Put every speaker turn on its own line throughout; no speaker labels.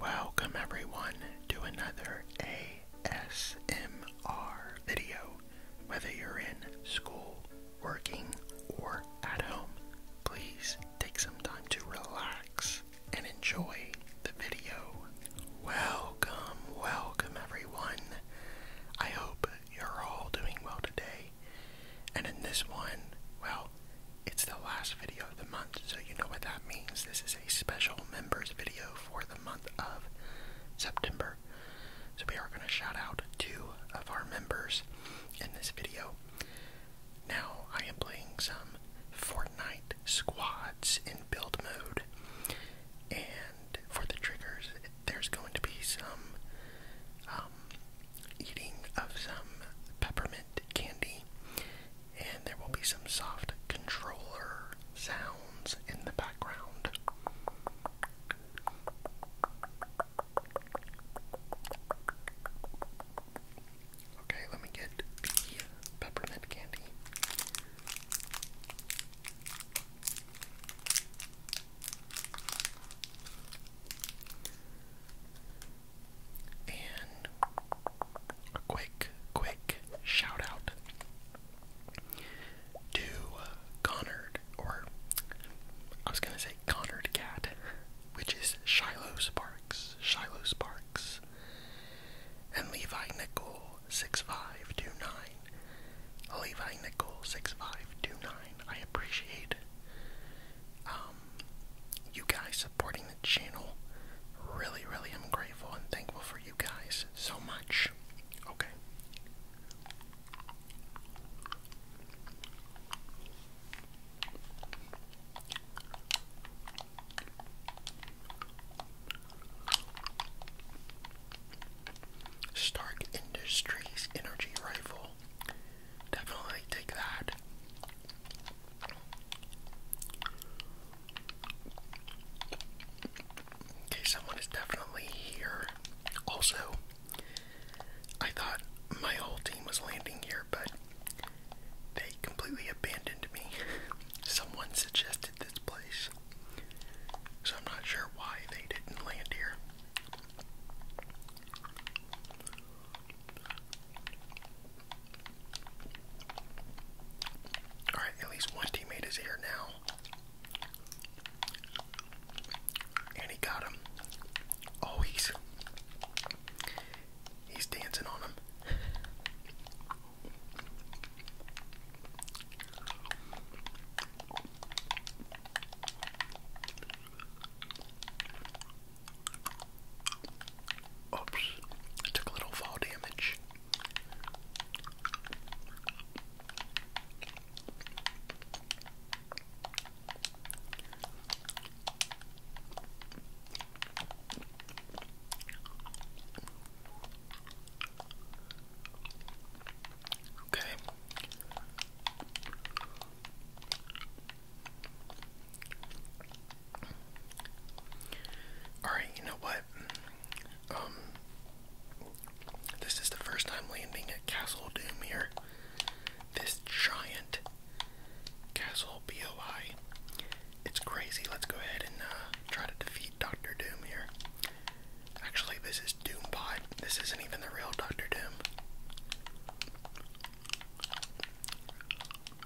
Welcome everyone to another ASMR video. Whether you're in school, working, or at home, please take some time to relax and enjoy the video. Welcome, welcome everyone. I hope you're all doing well today. And in this one, well, it's the last video of the month, so you know what that means. This is a special members video for the month of September. So we are going to shout out two of our members in this video. Now I am playing some Fortnite squads in build mode. And for the triggers, there's going to be some um, eating of some peppermint candy and there will be some soft controller sounds in the background. Okay, let me get the peppermint candy. And a quick, quick shout out to uh, or I was gonna say Connard Cat, which is Shiloh Sparks, Shiloh Sparks, and Levi Nickel 6529. Levi Nickel 6529. I appreciate um, you guys supporting channel. Really, really i am grateful and thankful for you guys so much. Okay. Stark Industries energy rifle. Definitely take that. Okay, someone is definitely here. Also, I thought my whole team was landing here, but they completely abandoned me. Someone suggested this place, so I'm not sure why they didn't land here. Alright, at least one teammate is here now. And he got him. Oh, he's he's dancing on him. Oops, took a little fall damage. Okay. Alright, you know what? Um, this is the first time landing at Castle Doom here. This giant Castle BOI. It's crazy. Let's go ahead and uh, try to defeat Doctor Doom here. Actually, this is Doombot. This isn't even the real Doctor Doom.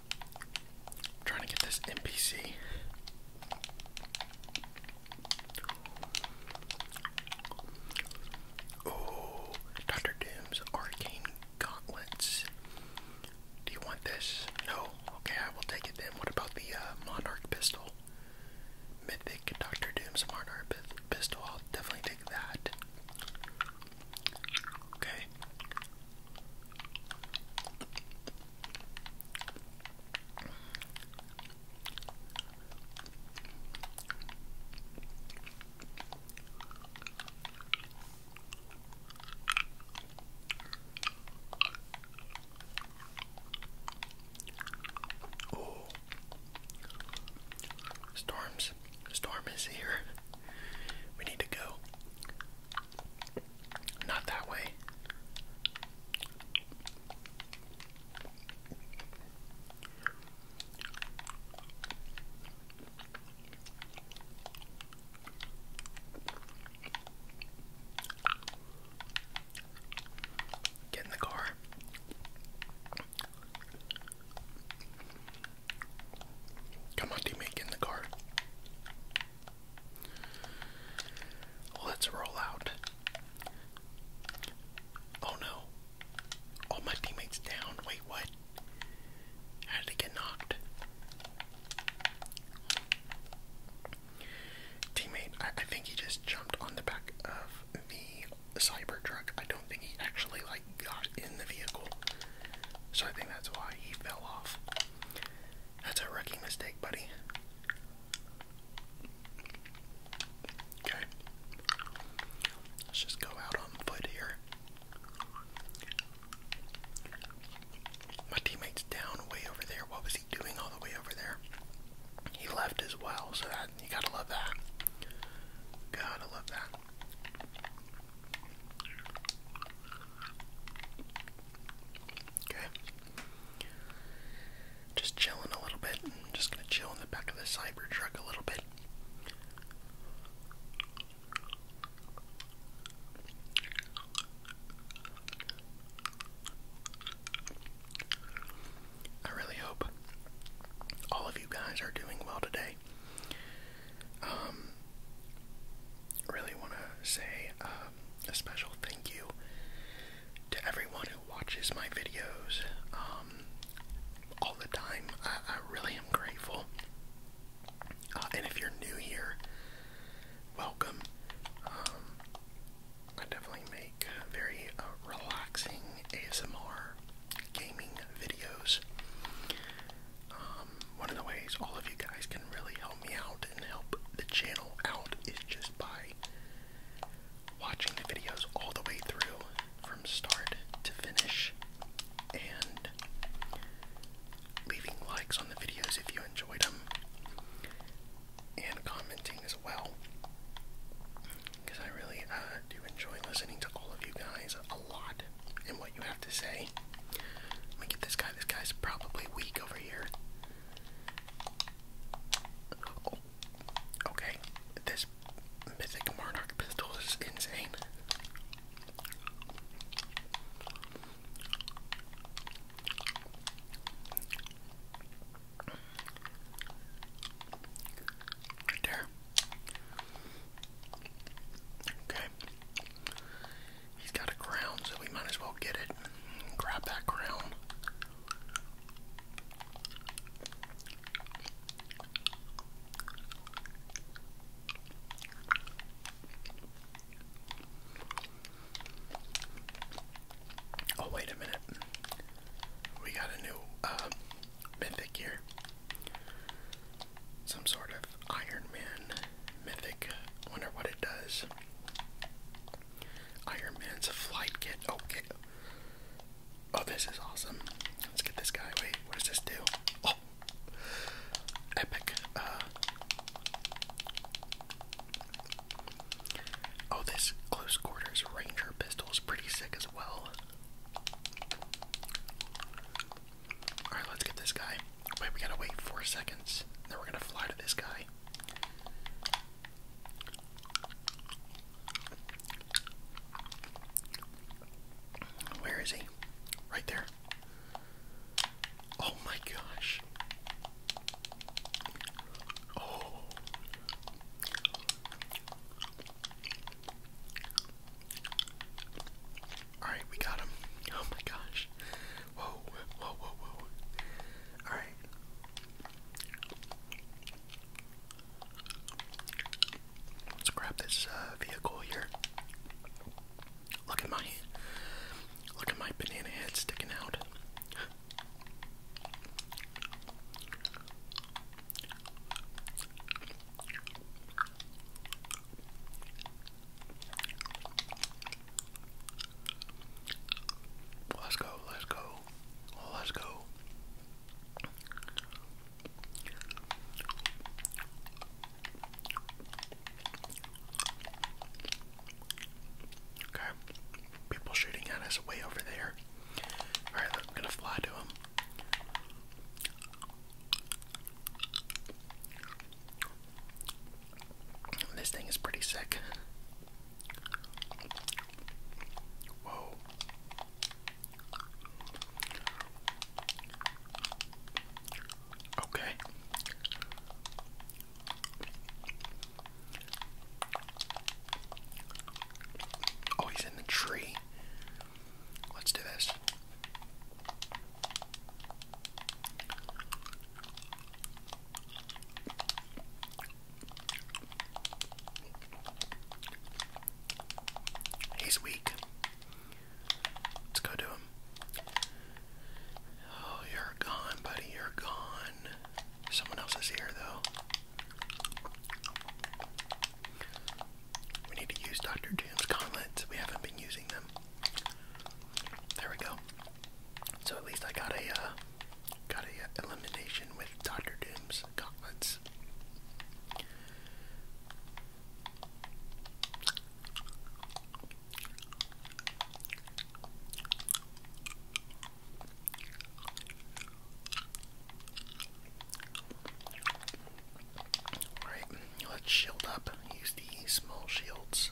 I'm trying to get this NPC. Oh, Dr. Doom's Arcane Gauntlets. Do you want this? No? Okay, I will take it then. What about the uh, Monarch Pistol? Mythic Dr. Doom's Monarch Pistol. I'll definitely take that. Okay. Oh, storms! Storm is here. We need to go. Not that way. Get in the car. Come on, teammate, get in the car. Let's roll out. Oh no. All my teammates down. Wait, what? How did they get knocked? Teammate, I, think he just jumped on the back of the Cybertruck. I don't think he actually like got in the vehicle. So I think that's why he fell off. That's a rookie mistake, buddy. Okay. Let's just go out on foot here. My teammate's down way over there. What was he doing all the way over there? He left as well, so that you gotta love that. Gotta love that. Okay. Just chilling a little bit. i just gonna chill in the back of the cyber truck a little bit. I really hope all of you guys are doing well today. I um, really want to say um, a special thank you to everyone who watches my videos um, all the time. I, really am grateful. Uh, and if you're new here, welcome. I definitely make very uh, relaxing ASMR gaming videos one of the ways all of you guys can really help me out and help the channel out is just by watching the videos all the way through from start to finish and leaving likes on the videos if you enjoyed them and commenting as well because I really uh, do enjoy listening to all of you guys a lot what you have to say. Let me get this guy. This guy's probably weak over here. Oh, okay. This mythic monarch pistol is insane. Right there. Okay. He's got a crown, so we might as well get it. Grab that crown. Oh, wait a minute. We got a new uh, mythic here. Some sort of Iron Man Mythic. Wonder what it does. Iron Man's flight kit. Oh, this is awesome. Let's get this guy. Wait, what does this do? Oh, epic. Uh, oh, this close quarters Ranger pistol is pretty sick as well. Alright, let's get this guy. Wait, we gotta wait four seconds. Then we're gonna fly to this guy. Where is he? Right there. Oh my gosh. Oh. Alright, we got him. Oh my gosh. Whoa, whoa, whoa, whoa. Alright. Let's grab this uh, vehicle here. Look at my look at my banana head sticking out. Let's go, let's go, let's go. Okay, people shooting at us way over there. Alright, I'm gonna fly to them. This thing is pretty sick. Whoa. Okay. Oh, he's in the tree. Let's do this. He's weak. Let's go to him. Oh, you're gone, buddy. You're gone. Someone else is here, though. We need to use Dr. Doom's gauntlets. We haven't been using them. There we go. So at least I got a uh, got a uh, elimination with Doctor Doom's gauntlets. All right, let's shield up. Use the small shields.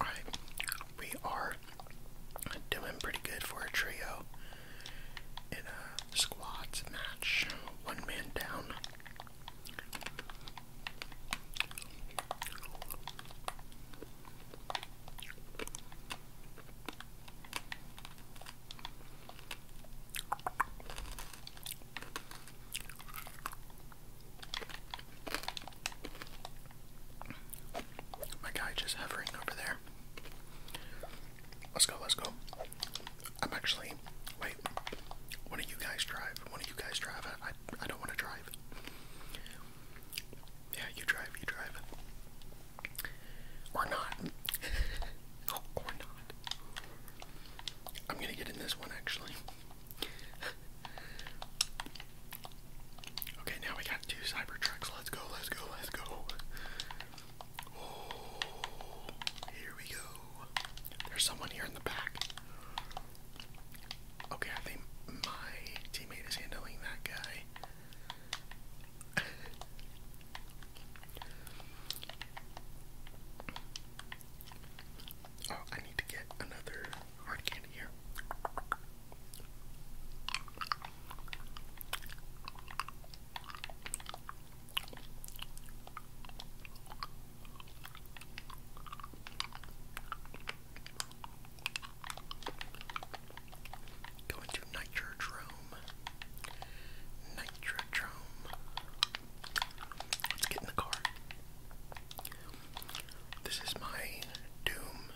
Alright, we are doing pretty good for a trio in a squads match. One man down. My guy just hovering over there. Let's go, let's go. I'm actually. Wait. One of you guys drive. One of you guys drive. I, I, I don't want to drive. Yeah, you drive, you drive. Or not. or not. I'm gonna get in this one actually okay, now we got two Cybertrucks. Let's go, let's go, let's go. Oh, here we go. There's someone here in the back. Okay, I think my teammate is handling that guy. Oh, I need to get another hard candy here. Going to Nitrodrome. Nitrodrome. Let's get in the car. This is my Doom,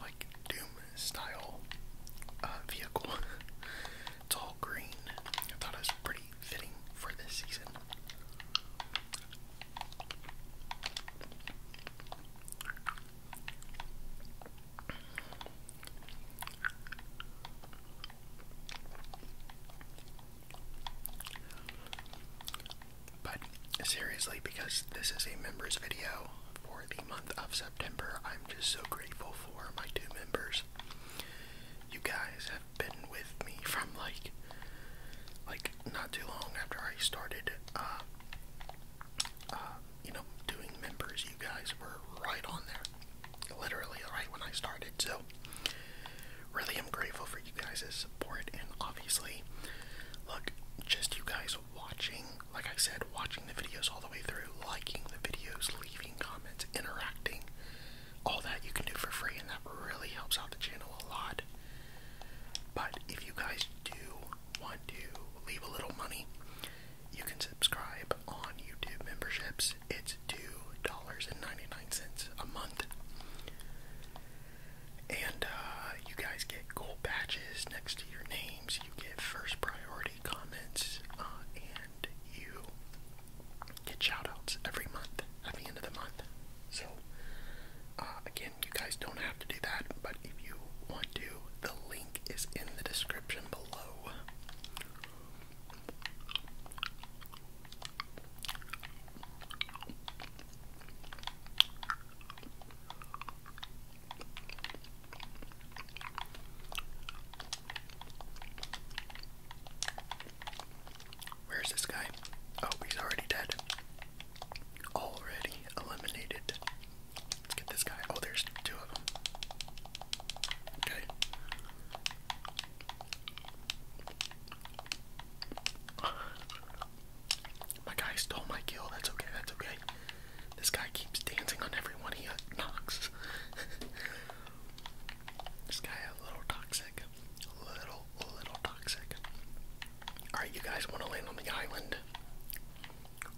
like Doom style uh, vehicle. it's all green. I thought it was pretty fitting for this season. But seriously, because this is a members video for the month of September, I'm just so grateful for my two members. You guys have been with me from like like not too long after I started uh, uh, you know doing members you guys were right on there literally right when I started so really i am grateful for you guys' support and obviously look just you guys watching like I said watching the videos all the way through liking the videos leaving comments interacting all that you can do for free and that really helps out the channel a lot but if you guys do want to leave a little money you can subscribe on YouTube memberships it's $2.99 a month and uh, you guys get gold badges next to your names. You get first priority comments, uh, and you get shoutouts every month at the end of the month. So, uh, again, you guys don't have to do that, but if you want to, the link is in the description below. Where's this guy? Oh, he's already dead. Already eliminated. Let's get this guy. Oh, there's two of them. Okay. My guy stole my kill. That's okay. That's okay. This guy keeps dancing on everyone he knocks. this guy a little toxic. A little, little toxic. Alright, you guys want to land on the island?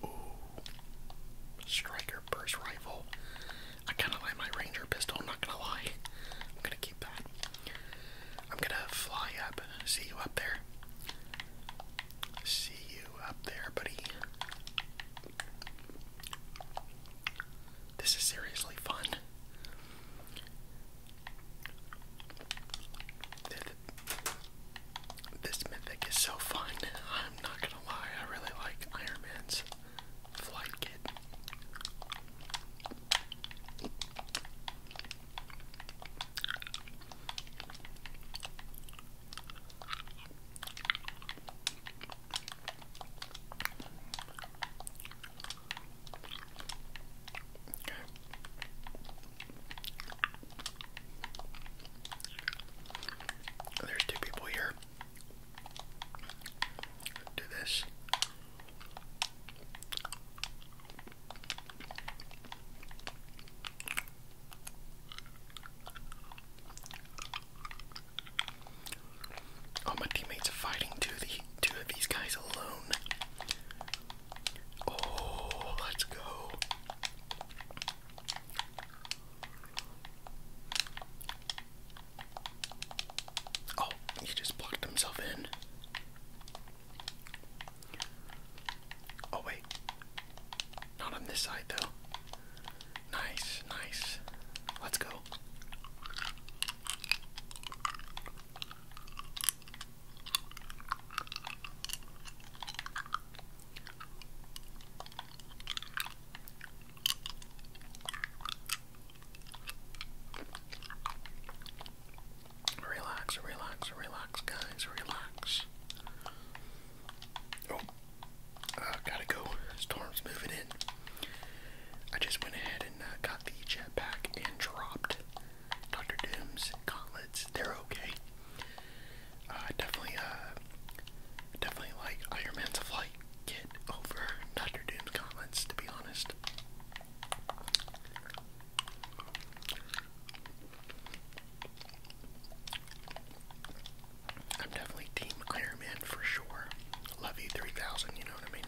Ooh. Striker burst rifle. I kind of like my ranger pistol, not gonna lie. I'm gonna keep that. I'm gonna fly up. See you up there. See you up there, buddy. This is seriously fun. This mythic is so fun. I'm not gonna lie, I really like Iron Man's flight kit. There's two people here. Do this. All my teammates are fighting two of, these guys alone. Oh, let's go. Oh, he just blocked himself in. Oh wait. Not on this side though. Nice, nice. Let's go. Relax, relax, relax, guys, relax. Oh, gotta go. Storm's moving in. I just went ahead and uh, got the jetpack and dropped Dr. Doom's gauntlets. They're okay. Uh, definitely, uh, definitely like Iron Man's flight kit over Dr. Doom's gauntlets, to be honest. I'm definitely Team Iron Man for sure. Love you 3000, you know what I mean?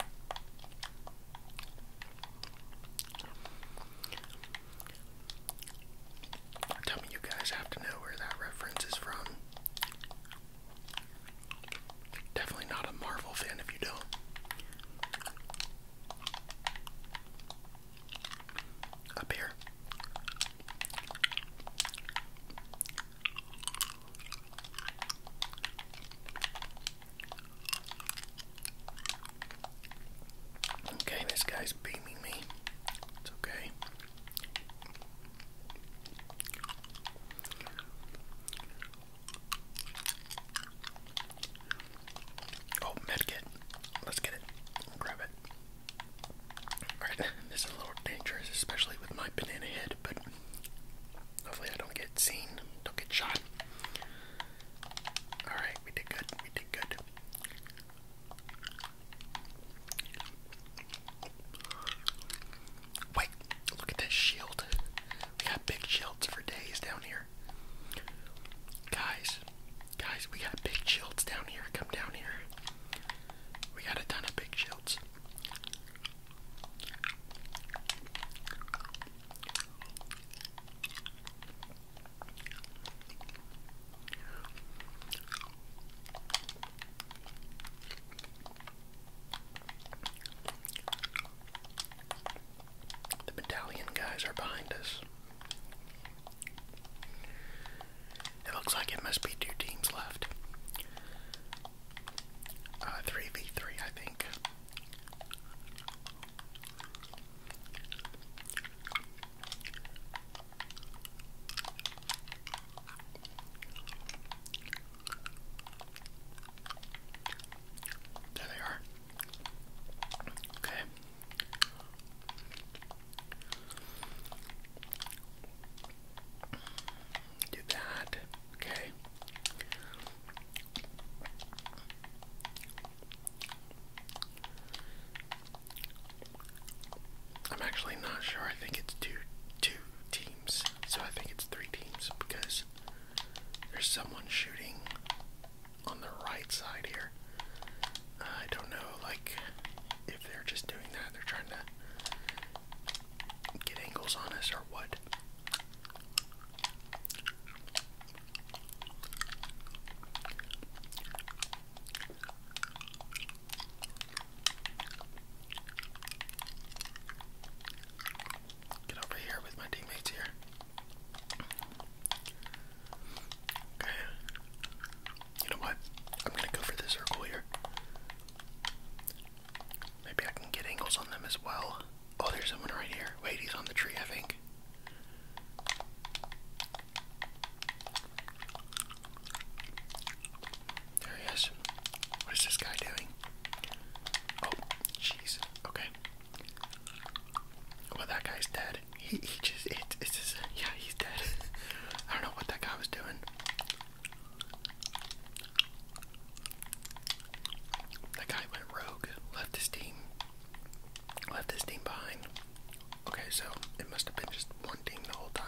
Tell me you guys have to know where that reference is from. Definitely not a Marvel fan if you don't. Up here. Okay, this guy's beaming me. It's okay. Oh, medkit. Let's get it. Grab it. Alright, this is a little dangerous, especially with my banana head, but hopefully I don't get seen, don't get shot. Alright, we did good, we did good. Wait, look at that shield. We got big shields for days down here. Guys, guys, we got big shields down here. Come down here. We got a ton of big shields. The battalion guys are behind us. It looks like it must be two teams left. 3v3, uh, I think. There they are. Okay. Do that. Okay. I'm actually not sure. I think it's two two teams. So I think it's three teams because there's someone shooting on the right side here. I don't know, like, if they're just doing that, they're trying to get angles on us or what. Get over here with my teammates here. Okay. You know what? I'm gonna go for the circle here. Maybe I can get angles on them as well. Oh, there's someone right here. Wait, he's on the tree, I think. There he is. What is this guy doing? Oh, jeez. Okay. Well, that guy's dead. He, he just, it, yeah, he's dead. I don't know what that guy was doing. That guy went rogue, left his team, left his team behind. Okay, so it must have been just one team the whole time.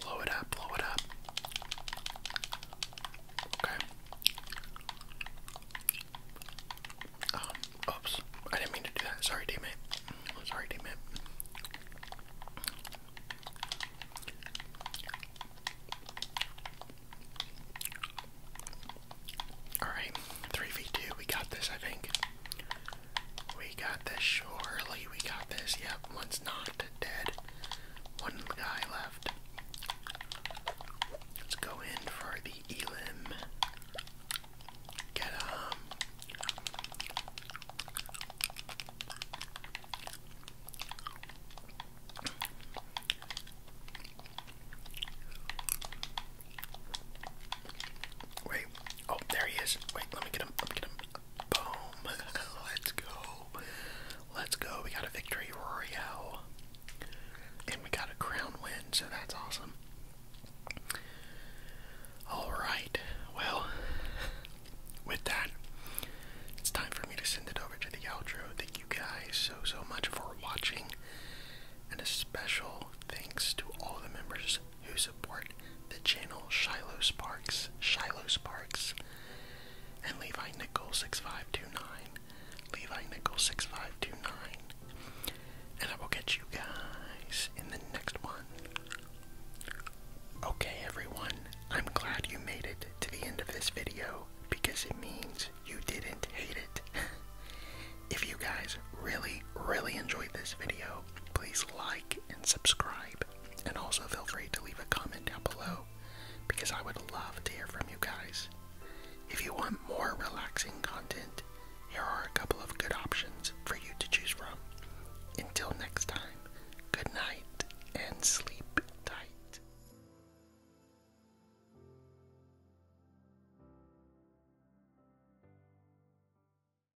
Blow it up, blow it up. Okay. Um, oops. I didn't mean to do that. Sorry, teammate. Sorry, teammate. Alright, 3v2, we got this, I think. We got this, surely we got this. Yep, one's not dead. One guy left. Let's go in for the Elim. Get him. Um, wait. Oh, there he is. Wait, let me get him. Let me get him. Boom. Let's go. Let's go. We got a victory royale. And we got a crown win, so that's awesome. Alright, well, with that, it's time for me to send it over to the outro. Thank you guys so, so much for watching. And a special thanks to all the members who support the channel Shiloh Sparks, Shiloh Sparks, and Levi Nickel 6529, Levi Nickel 6529. And I will catch you guys in the next one. Okay, everyone, I'm glad you made it to the end of this video because it means you didn't hate it. if you guys really, really enjoyed this video, please like, and subscribe. And also feel free to leave a comment down below because I would love to hear from you guys. If you want more relaxing content, here are a couple of good options for you to choose from. Until next time, good night and sleep tight.